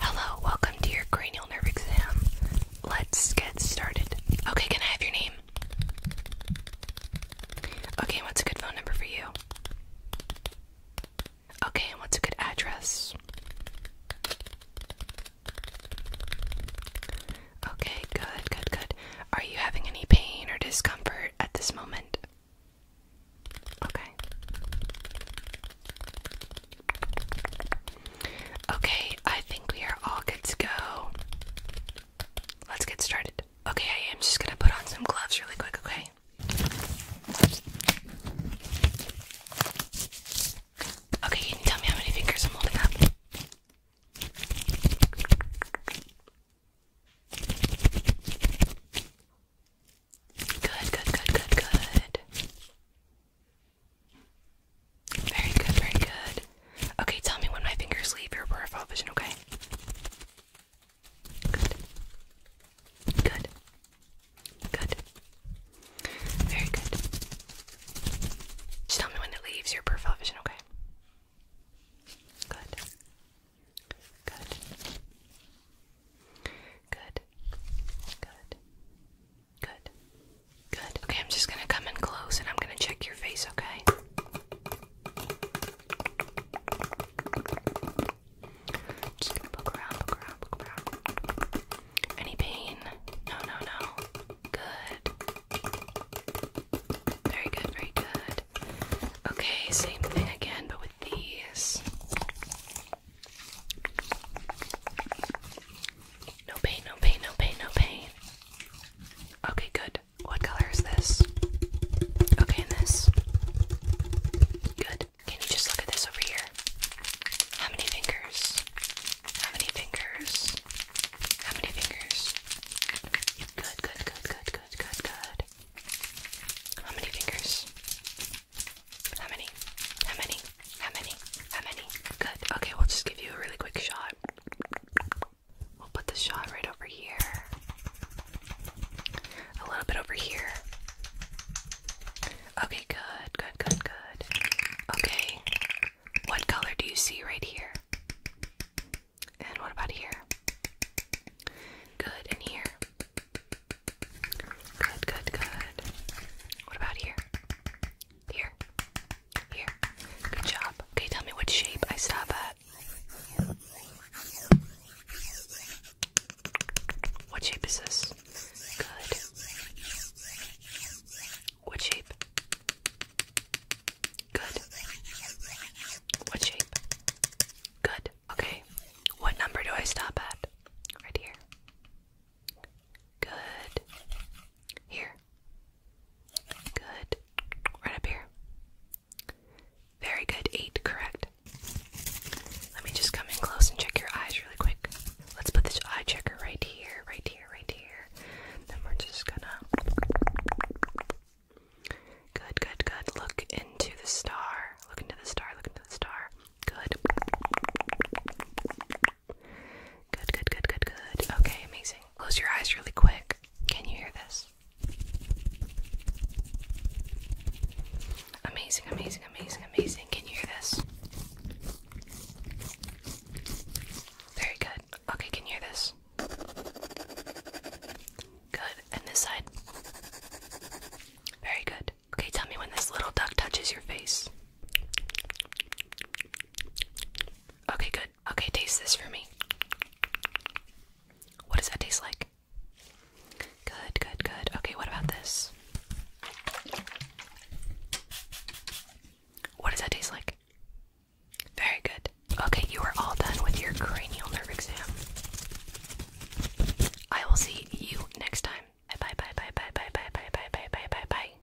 Hello, welcome to your cranial nerve exam. Let's get started. Okay, can I have your name? Okay, what's a good phone number for you? Okay, and what's a good address? Okay, good, good, good. Are you having any pain or discomfort at this moment? Okay. Okay, I think we are all good to go. Let's get started. Okay, I am just gonna put on some gloves really quick, okay? Okay, can you tell me how many fingers I'm holding up? Good, good, good, good, good. Very good, very good. Okay, tell me when my fingers leave your peripheral vision, okay? Good. Good. Good. Very good. Just tell me when it leaves your peripheral vision, okay? Good. Good. Good. Good. Good. Good. Okay, I'm just gonna come in close and I'm gonna check your face, okay? Just gonna poke around, poke around, poke around. Any pain? No, no, no. Good. Very good, very good. Okay, same thing again, but with these. No pain, no pain, no pain, no pain. Okay, good. What color is this? Okay, this. Good. Can you just look at this over here? How many fingers? How many fingers? How many fingers? Good, good, good, good, good, good, good. How many fingers? How many? How many? How many? How many? Good. Okay, we'll just give you a really quick shot. We'll put the shot right over here. A little bit over here. Okay, good, good, good, good. Okay, what color do you see right here? And what about here? Good, and here? Good, good, good. What about here? Here? Here? Good job. Okay, tell me what shape I stop at. What shape is this? Good. What shape? Good. What shape? Good. Okay. What number do I stop at? Right here. Good. Here. Good. Right up here. Very good, eight, correct. Let me just come in close and check your eyes really quick. Let's put this eye checker right here, right here, right here. Then we're just gonna. Good, good, good. Look into the star. Look into the star. Look into the star. Good. Good, good, good, good, good. Okay, amazing. Close your eyes really quick. Can you hear this? Amazing, amazing, amazing, amazing. Can you hear this? Very good. Okay, can you hear this? Good. And this side? Very good. Okay, tell me when this little duck touches your face. Okay, good good. Okay, taste this for me. What does that taste like? Good, good, good. Okay, what about this? What does that taste like? Very good. Okay, you are all done with your cranial nerve exam. I will see you next time. Bye bye bye bye bye bye bye bye bye bye bye bye.